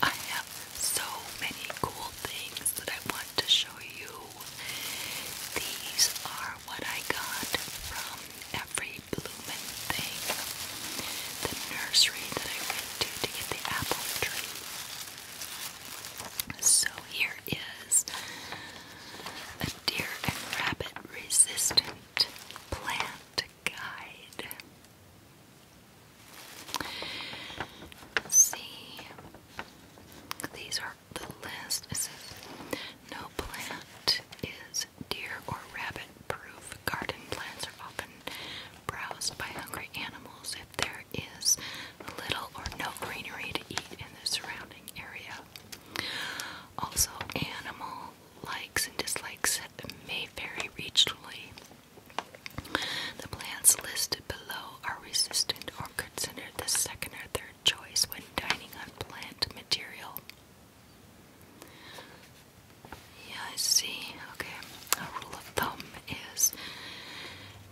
I have so many cool things that I want to show you. These are what I got from every bloomin' thing. The nursery that I went to to get the apple tree. So here is a deer and rabbit resistant plant guide. see, these are the list. It says no plant is deer or rabbit proof. Garden plants are often browsed by hungry animals if there is little or no greenery to eat in the surrounding area. Also, animal likes and dislikes may vary regionally. The plants listed below are resistant or considered the second or third choice when dining on plant material. Yeah, I see. Okay. A rule of thumb is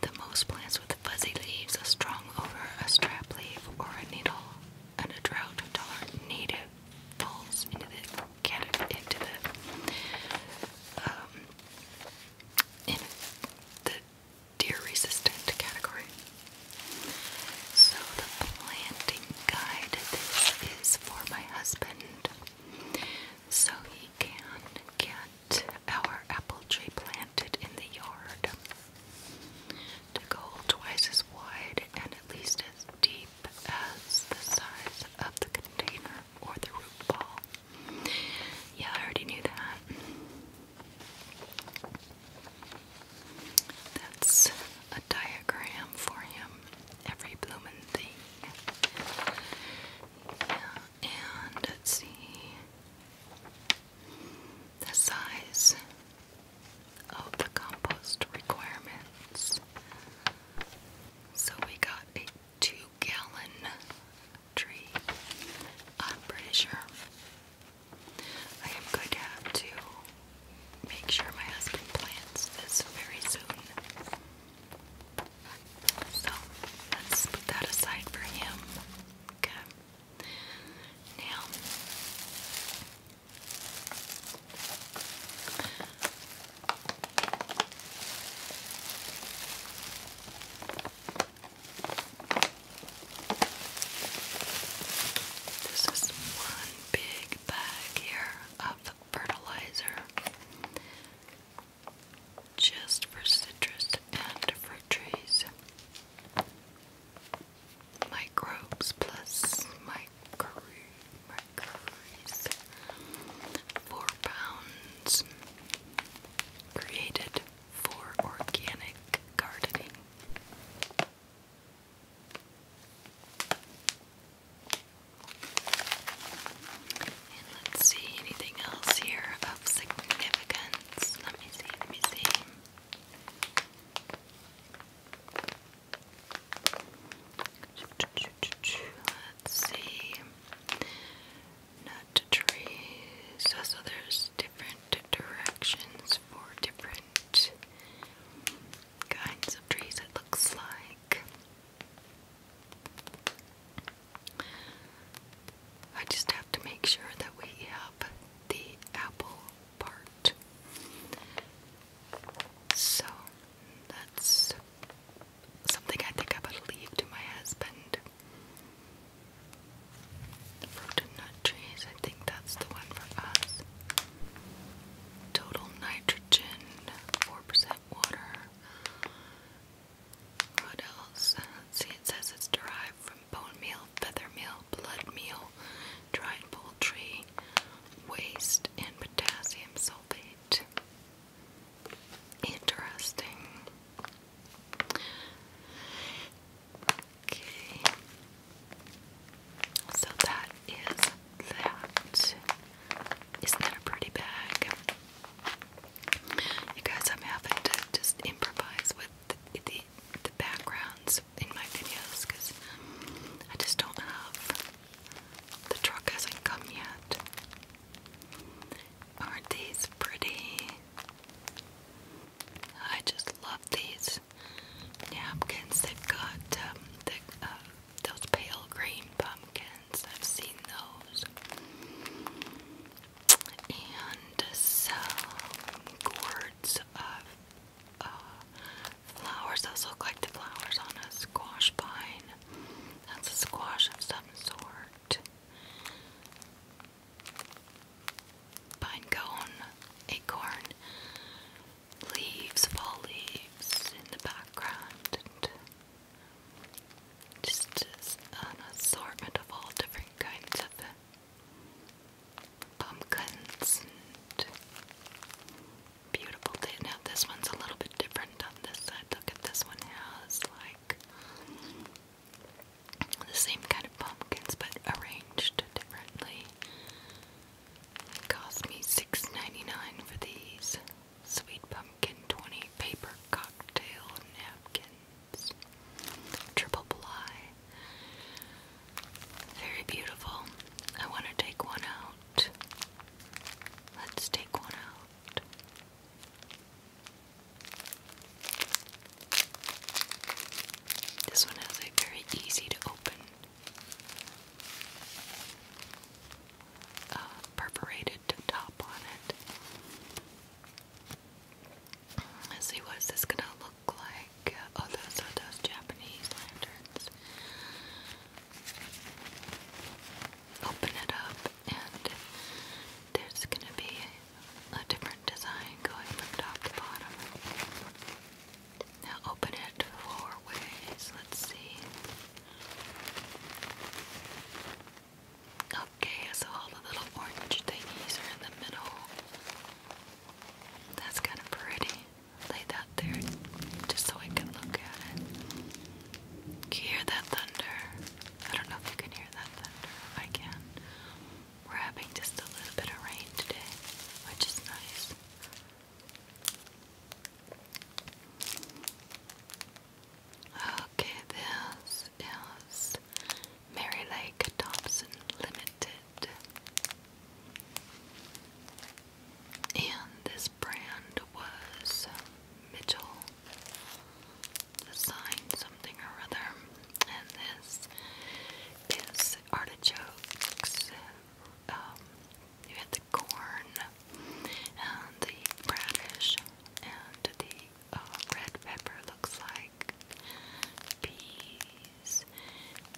the most plants with fuzzy leaves are strung over a strap leaf or a needle, and a drought-tolerant native falls into um, the deer-resistant category. So the planting guide this is for my husband, so he can get our apple tree planted in the yard to go twice as wide and at least as deep as the size of the container or the root ball. Yeah, I already knew that. That's a diagram for him. Every bloomin' thing. Yeah and see the size of the compost requirements. So we got a two gallon tree, I'm pretty sure. I am going to have to make sure my husband plants this very soon. So let's put that aside for him. Okay. Now, this is one big bag here of fertilizer just for citrus and fruit trees. Microbes plus microbes. Four pounds created for organic gardening let's see anything else here of significance. Let me see, let me see. Let's see. Nut trees. So there's different directions for different kinds of trees, it looks like. I just have to make sure that we have the apple part. So that's something I think I'm going to leave to my husband. The and nut trees, I think that's the one for us. Total nitrogen, 4% water. What else? see, it says it's derived from bone meal, feather meal, blood meal, dried poultry, waste, and potassium sulfate. Interesting. Okay. So that is that. Isn't that a pretty bag? You guys, I'm having to just improvise with the, backgrounds in my videos because I just don't have. The truck hasn't come yet. Aren't these pretty? I just love these napkins. They've got um, uh, those pale green, but pumpkins. I've seen those. And some gourds of uh, flowers. Those look like the flowers on a squash vine. That's a squash of some sort. Pine cone, acorn, leaves, fall leaves in the background, just an assortment of all different kinds of pumpkins beautiful Now this one's a little bit different on this side. Look at this one has like the same kind of pumpkins but arranged differently. It cost me six ninety nine dollars for these. Sweet Pumpkin 20 Paper Cocktail Napkins. Triple ply. Very beautiful. I want to take one out. Let's take one out. This one has very easy to open uh, perforated top on it. Let's see what's this gonna look like. Oh, those are those Japanese lanterns. Open it up, and there's gonna be a different design going from top to bottom. Now open it four ways. Let's see. Okay, so all the little orange thingies are in the middle. That's kind of pretty. Lay that there just so I can look at it. Can you hear that thunder? I don't know if you can hear that thunder. I can. We're having just a little bit of rain today, which is nice. Okay, this is Mary Lake Thompson Limited. And this brand was Mitchell Design something or other. And this is artichokes. you um, had the corn and the radish and the uh, red pepper looks like peas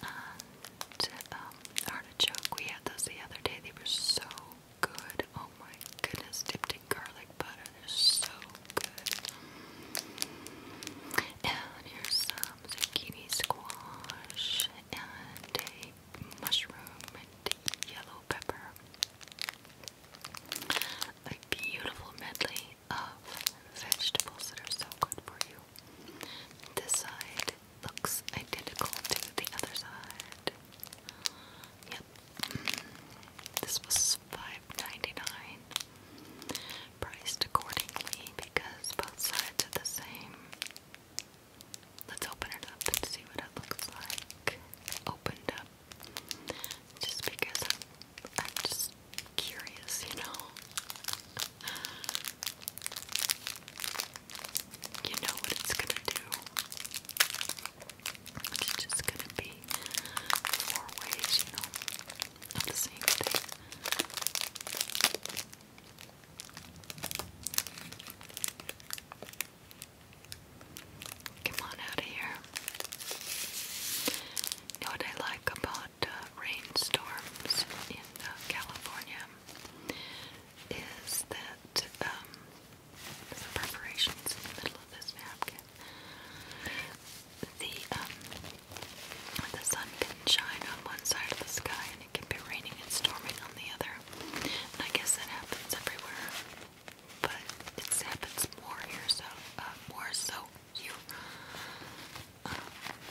and um, artichoke. We had those the other day. They were so good. Oh my goodness, dipped in garlic butter. They're so good. And here's some zucchini squash and a mushroom and yellow pepper a beautiful medley of vegetables that are so good for you. This side looks identical to the other side. Yep. This was $5.99. Priced accordingly because both sides are the same. Let's open it up and see what it looks like. Opened up. Just because I'm, I'm just curious, you know. You know what it's gonna do. It's just gonna be four ways, you know, of the same thing. Come on out of here. You what I like about uh, rainstorms in uh, California is that um, there's in the middle of this napkin. The um, the sun can shine on one side of the sky, and it can be raining and storming on the other. I guess that happens everywhere but it happens more here, so uh, more so you uh,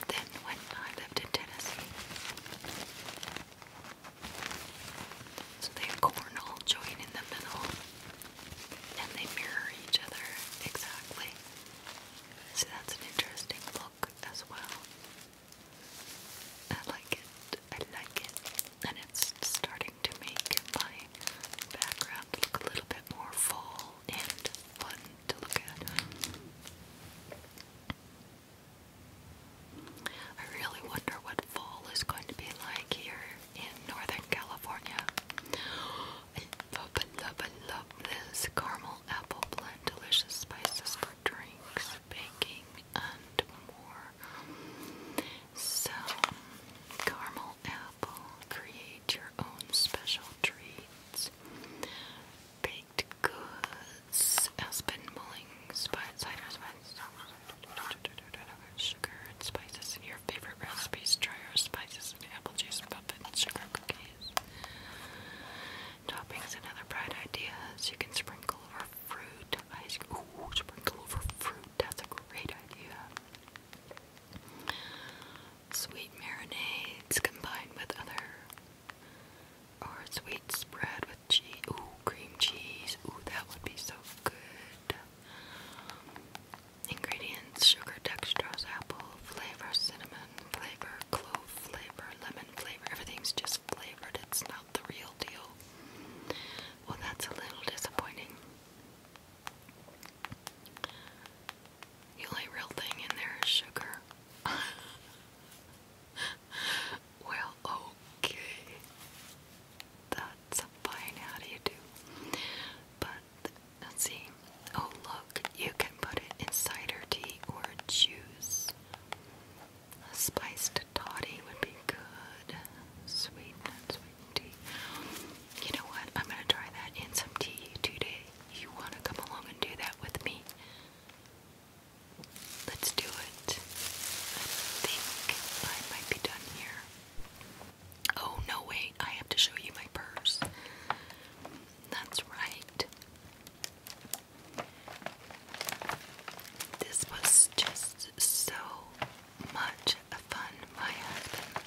than when I lived in Tennessee. So they have cornhole join in the middle, and they mirror each other exactly. So that's an interesting look as well. I like it. I like it. And it's starting to make my background look a little bit more full and fun to look at. I really wonder what fall is going to be like here in Northern California. love, love, love this caramel apple blend, delicious spices for drinks, baking, and more. So, caramel apple, create your own special treats. Baked goods, Aspen mullings, ciders, sugar and spices, your favorite recipes. Try our spices apple juice muffins, sugar cookies, toppings, and other bright ideas. You can sprinkle over fruit ice cream. Ooh, sprinkle over fruit. That's a great idea. Sweet marinades combined with other. Or sweet spread with cheese. Ooh, cream cheese. Ooh, that would be so good. Ingredients sugar, dextrose, apple, flavor, cinnamon, flavor, clove, flavor, lemon flavor. Everything's just flavored, it's not the real deal. Well, that's a little disappointing. The only real thing in there is sugar. well, okay. That's fine. How do you do? But see. Oh, look, you can put it in cider tea or juice. A spiced toddy would be good sweet, not sweet tea. You know what? I'm gonna try that in some tea today. You wanna come along and do that with me? Let's do it. I think I might be done here. Oh, no, wait, I have to show you my purse. That's right. This was just so much fun my husband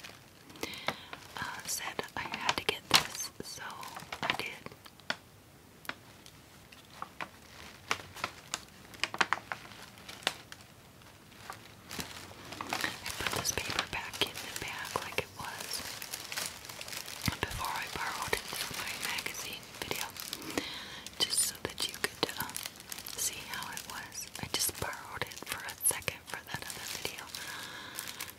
uh, said I had to get this, so I did. I put this paper back in the bag like it was before I borrowed it for my magazine video, just so that you could um, see how it was. I just borrowed it for a second for that other video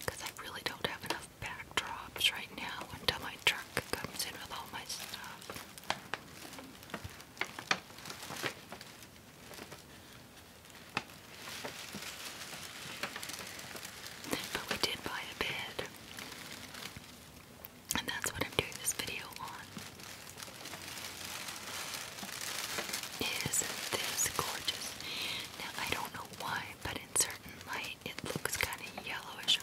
because I really don't have enough backdrops right now until my truck comes in with all my stuff. But we did buy a bed. And that's what I'm doing this video on. Is this gorgeous? Now I don't know why, but in certain light it looks kind of yellowish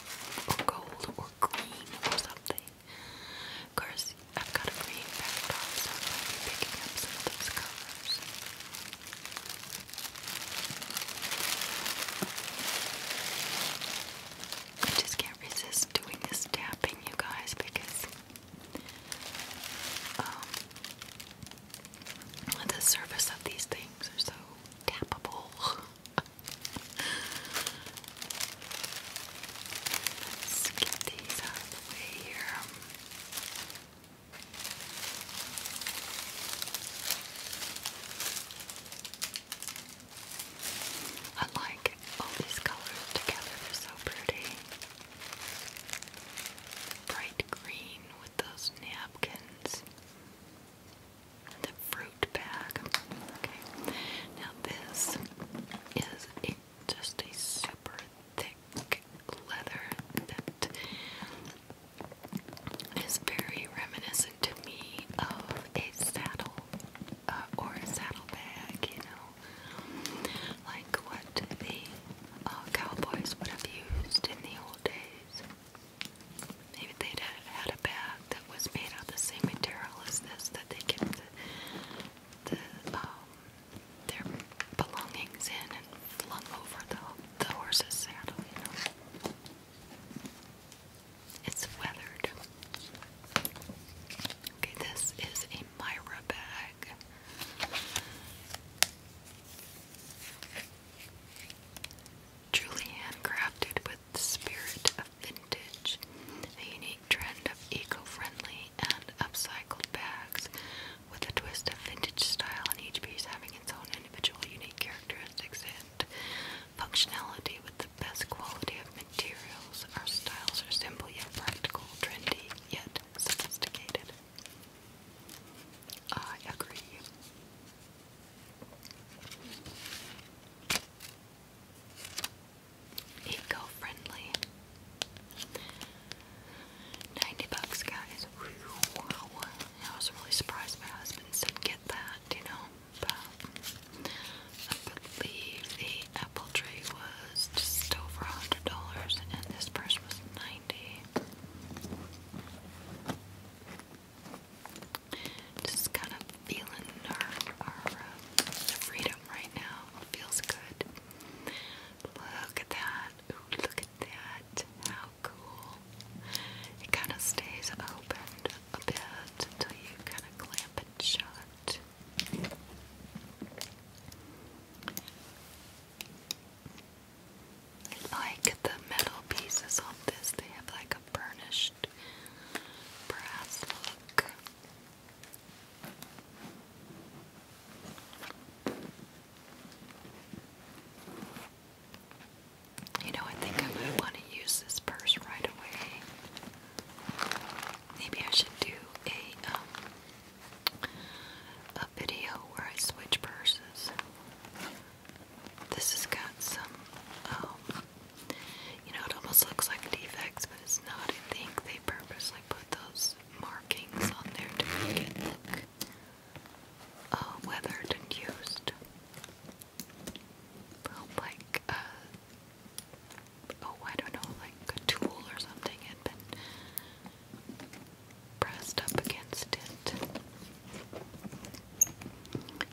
or gold or green or something. Of course, I've got a green backdrop, so I'm picking up some of those colors. I just can't resist doing this tapping, you guys, because um, the surface of these things are so tappable. Let's get these out of here. I like all these colors together, they're so pretty. Bright green with those napkins. the fruit bag. Okay. Now this is just a super thick leather that is very reminiscent to me of a saddle uh, or a saddlebag, you know, like what the uh, cowboys would have used in the old days. Maybe they'd had a bag that was made out of the same material as this that they kept the, the um, their belongings in and flung over the, the horse's saddle, you know. It's weathered. Okay, this is a Myra bag. Truly handcrafted with the spirit of vintage, a unique trend of eco-friendly and upcycled bags with a twist of vintage style, and each piece having its own individual unique characteristics and Functionality with the best quality of materials. Our styles are simple yet practical, trendy yet sophisticated. I agree. Eco-friendly. 90 bucks, guys. Wow. I was really surprised my husband said get that, you know. I believe the apple tree was just over $100 and this purse was 90 Just kind of feeling our, uh, freedom right now. feels good. Look at that. look at that. How cool. It kind of stays opened a bit until you kind of clamp it shut. I like the metal pieces on this, they have like a burnished brass look. You know, I think I might want to use this purse right away. Maybe I should do a um, a video where I switch purses. This has got some um, you know it almost looks like defects but it's not. I think they purposely put those markings on there to make it look uh, weathered and used. Well, like uh, oh I don't know, like a tool or something had been pressed up against it.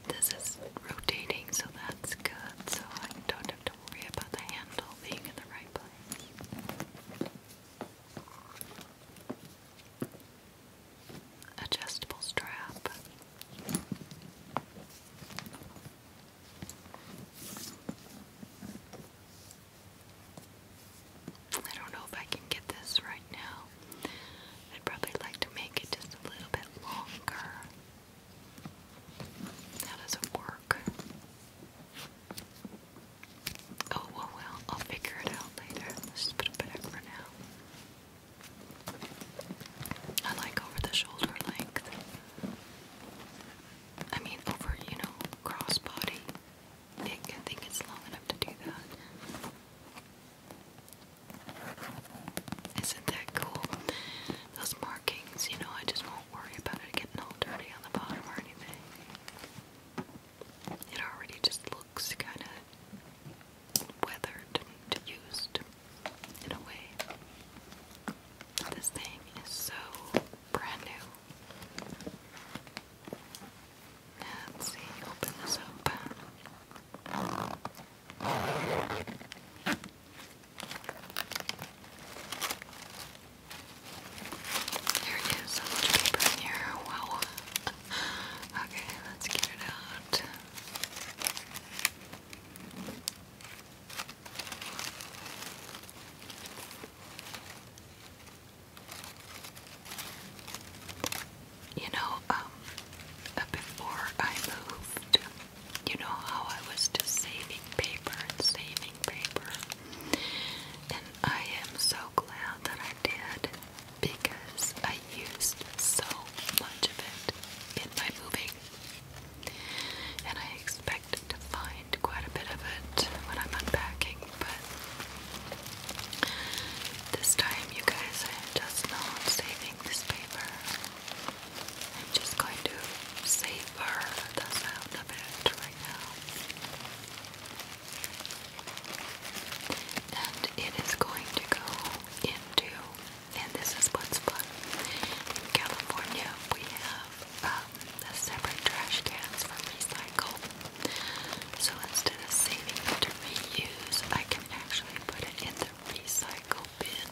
This is rotating, so that's good, so I don't have to worry about the handle being in the right place. Adjustable strap. I don't know if I can get this right now. I'd probably like to make it just a little bit longer. How does it work? Oh, well, I'll figure it out later. just put it back for now. I like over the shoulder length. I mean, over, you know, crossbody. I think it's long enough to do that. Isn't that cool? Those markings, you know, I just won't worry about it getting all dirty on the bottom or anything. It already just looks kind of weathered and used in a way. This thing is so brand new. Now, open this up. There so much paper in here. Wow. okay, let's get it out. You know, um, uh, before I moved, you know how I was saving paper and saving paper, and I am so glad that I did because I used so much of it in my moving and I expect to find quite a bit of it when I'm unpacking, but this time, you guys, I am just not saving this paper. I'm just going to savor the sound right now. And it is going to go into and this is what's fun. In California, we have um, the separate trash cans for recycle. So instead of saving it to reuse, I can actually put it in the recycle bin.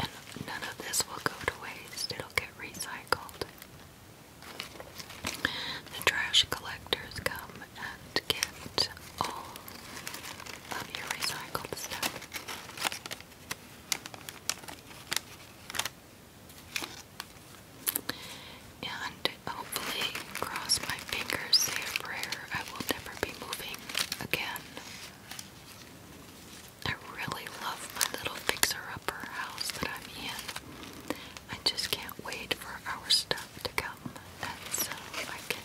And none of this will go to waste, it'll get recycled. The trash collectors come and get all of your recycled stuff. And hopefully, cross my fingers, say a prayer, I will never be moving again. I really love my little fixer-upper house that I'm in. I just can't wait for our stuff to come, and so I can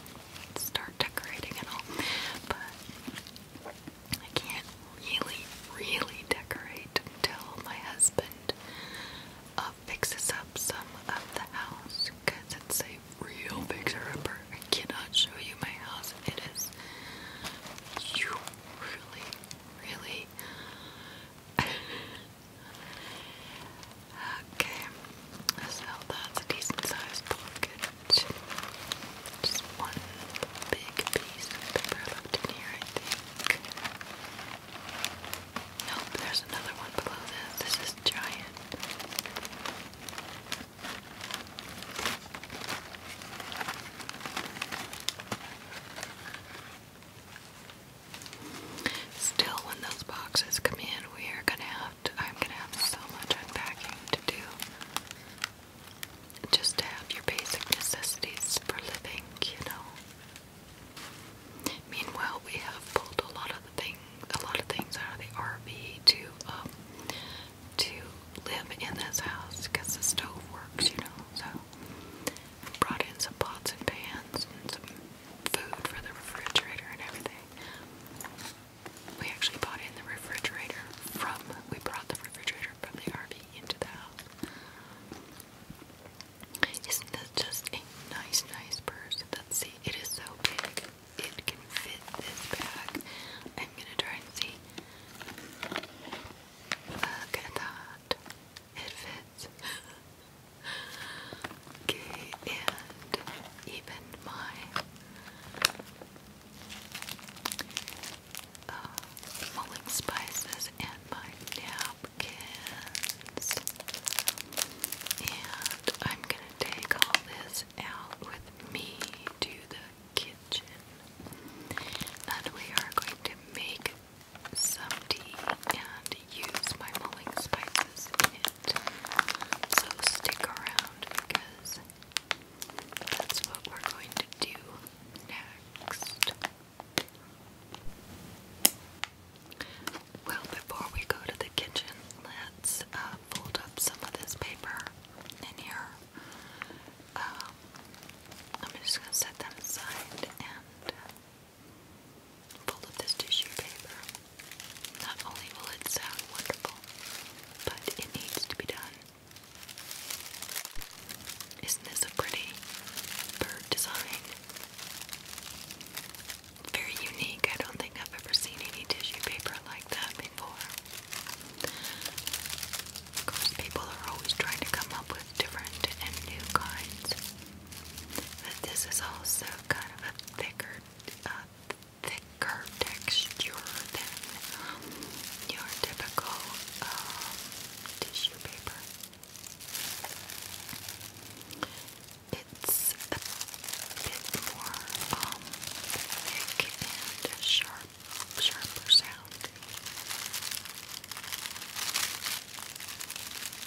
start decorating and all, but I can't really, really decorate until my husband uh, fixes up some of the house because it's a real big upper I cannot show you my house. It is you really, really. okay, so that's a decent sized pocket. Just one big piece of paper left in here, I think. Nope, there's another one below this. This is giant. Still, when those boxes come in, we are gonna have to. I'm gonna have so much unpacking have to do just to have your basic necessities for living, you know. Meanwhile, we have pulled a lot of the things, a lot of things out of the RV to um, to live in this house because the stove works, you know. So I brought in some pots and pans and some food for the refrigerator and everything. We actually bought in the refrigerator from, we brought the refrigerator from the RV into the house. Isn't that just a nice, nice purse? Let's see, it is so big. It can fit this bag. I'm gonna try and see. Look at that. It fits. and even my uh, mulling spices and my napkins. And I'm gonna take all this out with me to the kitchen. And we are going to make some tea and use my mulling spices in it. So stick around because that's what we're going to do next. Well, before we go to the kitchen, let's uh, fold up some of this paper in here. Um, I'm just going to set that aside and fold up this tissue paper. Not only will it sound wonderful, but it needs to be done. Isn't this a pretty bird design? Very unique. I don't think I've ever seen any tissue paper like that before. Of course, people are always trying to come up with different and new kinds. But this is also kind of a thicker, uh, thicker texture than um, your typical uh, tissue paper. It's a bit more um, thick and sharp, sharper sound.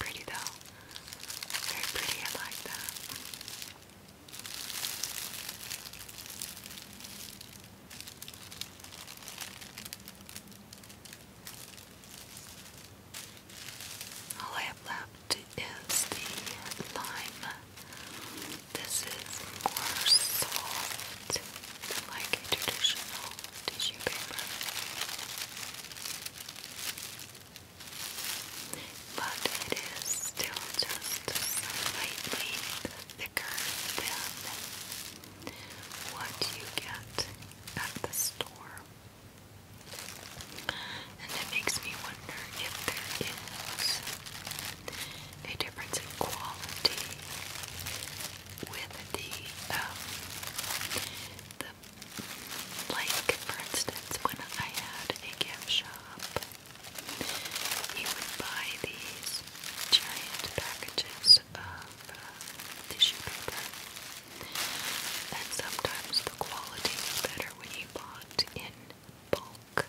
Pretty though. Very pretty, I like that. All I have left is the lime. This is more soft, like a traditional tissue paper but it is still just slightly thicker than what you get at the store. And it makes me wonder if there is a difference in quality with the, um, like for instance, when I had a gift shop, you would buy these giant packages of uh, and sometimes the quality is better when you bought in bulk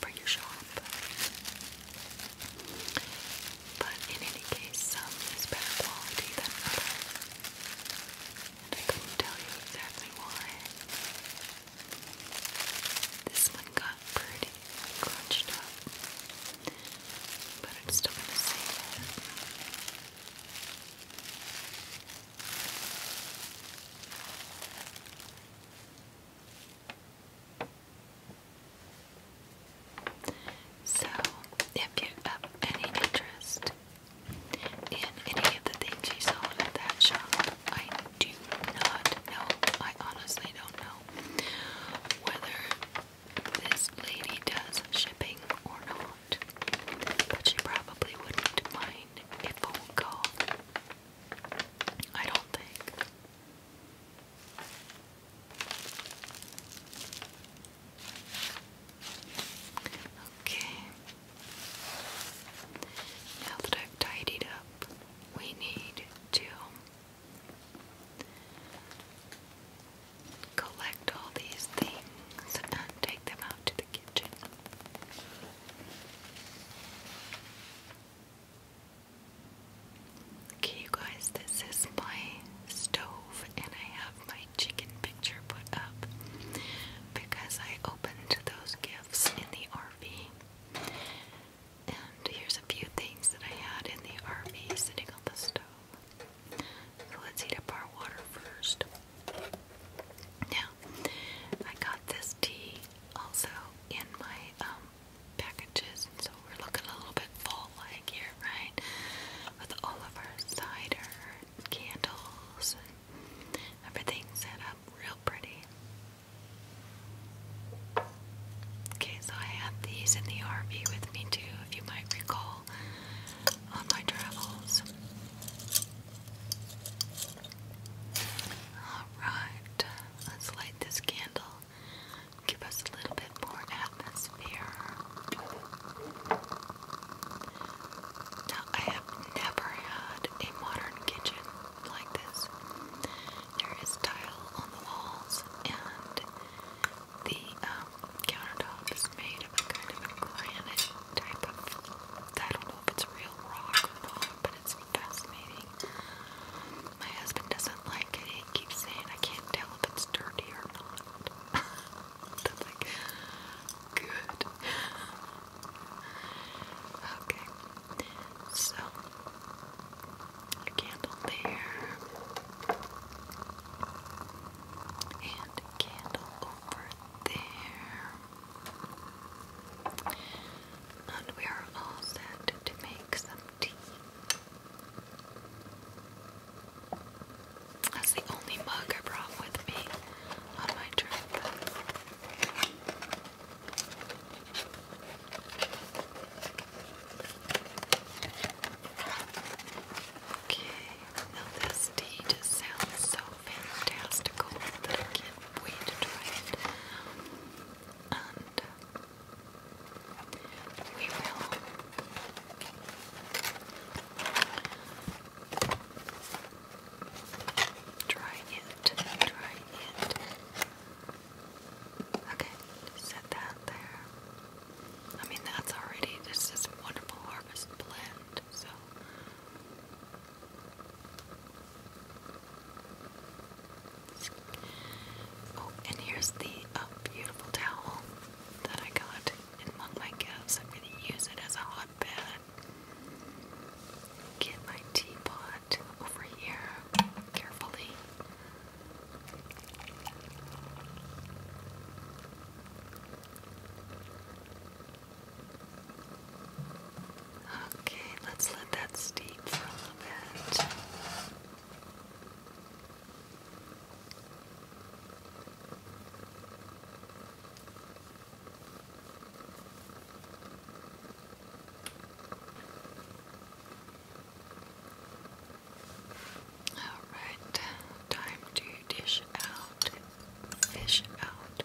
for your shop. But in any case, some is better quality than other. And I could tell you exactly why. This one got pretty crunched up, but i still going to save it. So, if you have any interest and any of the things he sold at that shop. I do not know. I honestly don't know whether this lady does shipping or not, but she probably wouldn't mind if phone call. I don't think. Okay, now that I've tidied up, we need to collect all these things and take them out to the kitchen. Okay, you guys, this is my stove, and I have my chicken picture put up because I opened those gifts in the RV. And here's a few things that I had in the RV sitting on the stove. So let's heat up our water first. Now, I got this tea also in my um, packages, and so we're looking a little bit fall-like here, right? With all of our cider, candles, Everything set up real pretty. Okay, so I had these in the RV with me too, if you might recall, on my travels. Alright, let's light this candle. Give us a little bit more atmosphere. Now, I have never had a modern kitchen like this. There is tile on the walls, and the um, countertop is made of a kind of a granite type of. I don't know if it's real rock or not, but it's fascinating. My husband doesn't like it. keeps saying I can't tell if it's dirty or not. That's like good. Okay, so a candle there, and a candle over there, and we are all set to make some tea. That's the only mug I brought with me on my Okay, now this tea just sounds so fantastical that I can't wait to try And uh, we will Try it. Try it. Okay, set that there. I mean, that's already this is wonderful harvest blend. So. Oh, and here's the uh, beautiful towel that I got among my gifts. I'm going to use it as a Get my teapot over here carefully. Okay, let's let that steep for a little bit. Alright, time to dish out, fish out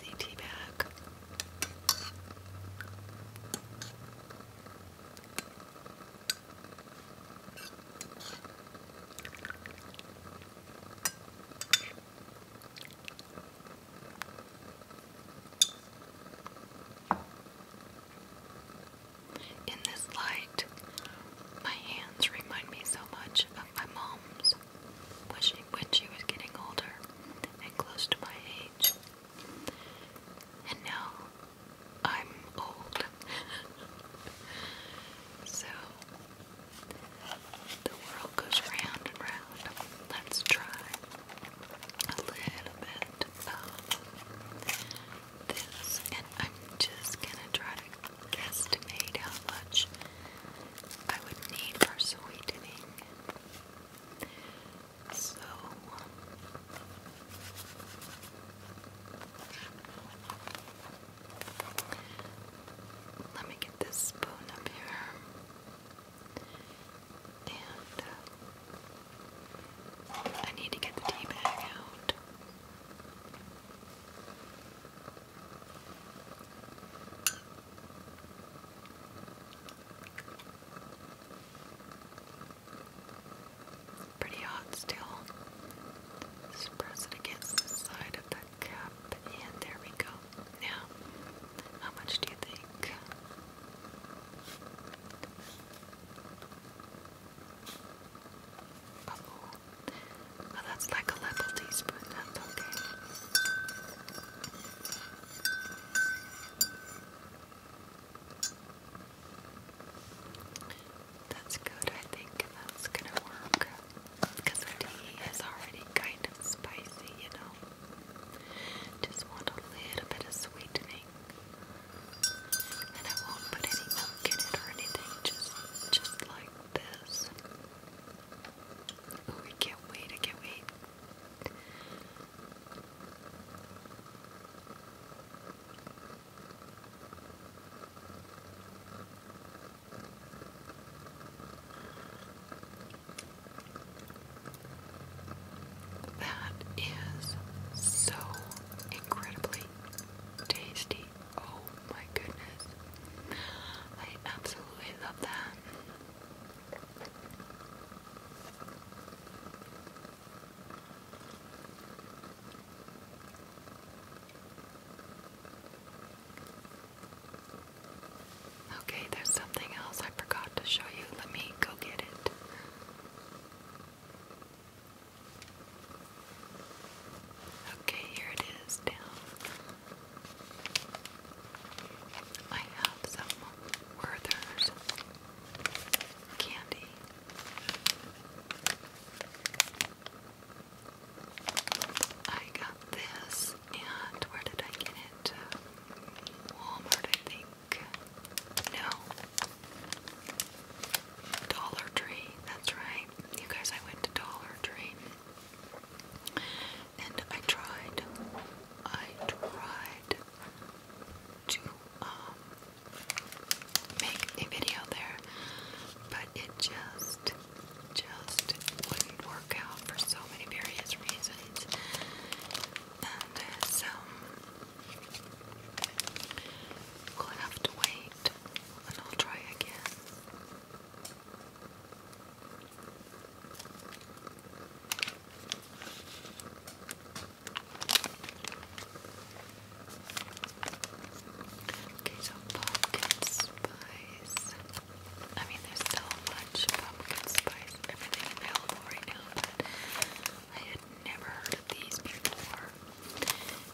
the tea bag. In this light, my hands remind me so much of my mom's when when she was getting older and close to my age. And now I'm old. so the world goes round and round. Let's try a little bit of this, and I'm just gonna try to guesstimate how much I would need for sweetening. So. Um, let me get this spoon up here. And uh, I need to get the tea bag out. Pretty hot still. Just press it against the side of the and there we go. Now, how much do you think? well, oh, oh, that's like a level teaspoon, that's okay. That's good, I think, that's gonna work because the tea is already kind of spicy, you know. Just want a little bit of sweetening. And I won't put any milk in it or anything, just just like this. Oh, I can't wait, I can't wait. That is so incredibly tasty. Oh my goodness. I absolutely love that. Okay, there's something else I forgot to show you. Let me go get it. Okay, here it is down. I have some Werther's candy. I got this, and where did I get it? Walmart, I think. No. Dollar Tree, that's right. You guys, I went to Dollar Tree. And I tried, I tried to um, make a video there, but it just just wouldn't work out for so many various reasons. And so we'll have to wait and I'll try again. Okay, so pumpkin spice. I mean, there's so much pumpkin spice, everything available right now, but I had never heard of these before.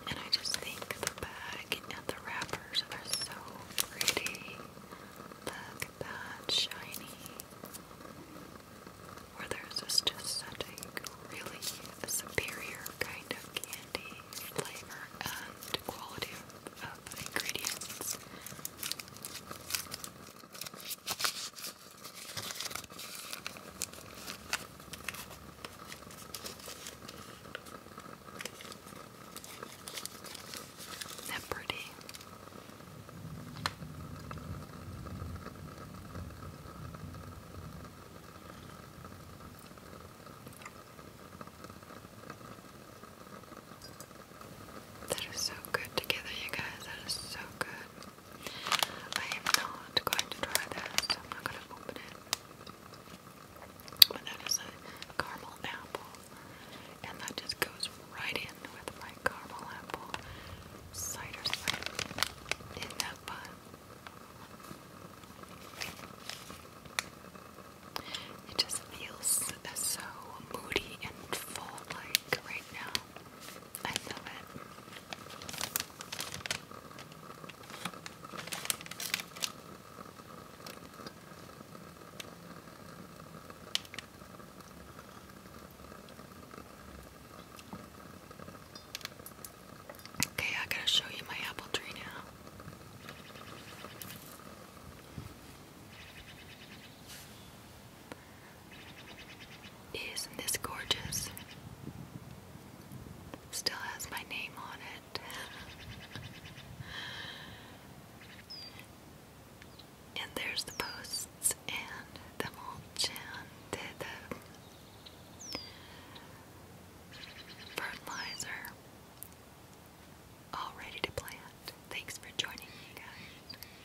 And I just think the bag and the wrappers are so pretty. Look at that, shiny. Where there's just such a really superior kind of candy flavor and quality of ingredients. pretty. That is so good together, you guys. That is so good. I am not going to try this. I'm not going to open it. But that is a caramel apple. And that just goes right in with my caramel apple cider slime. is that fun? It just feels so moody and full like right now. I love it. Okay, I gotta show you my apple tree now. Isn't this gorgeous? Still has my name on it. and there's the posts and the mulch and the, the fertilizer all ready to plant. Thanks for joining me, guys.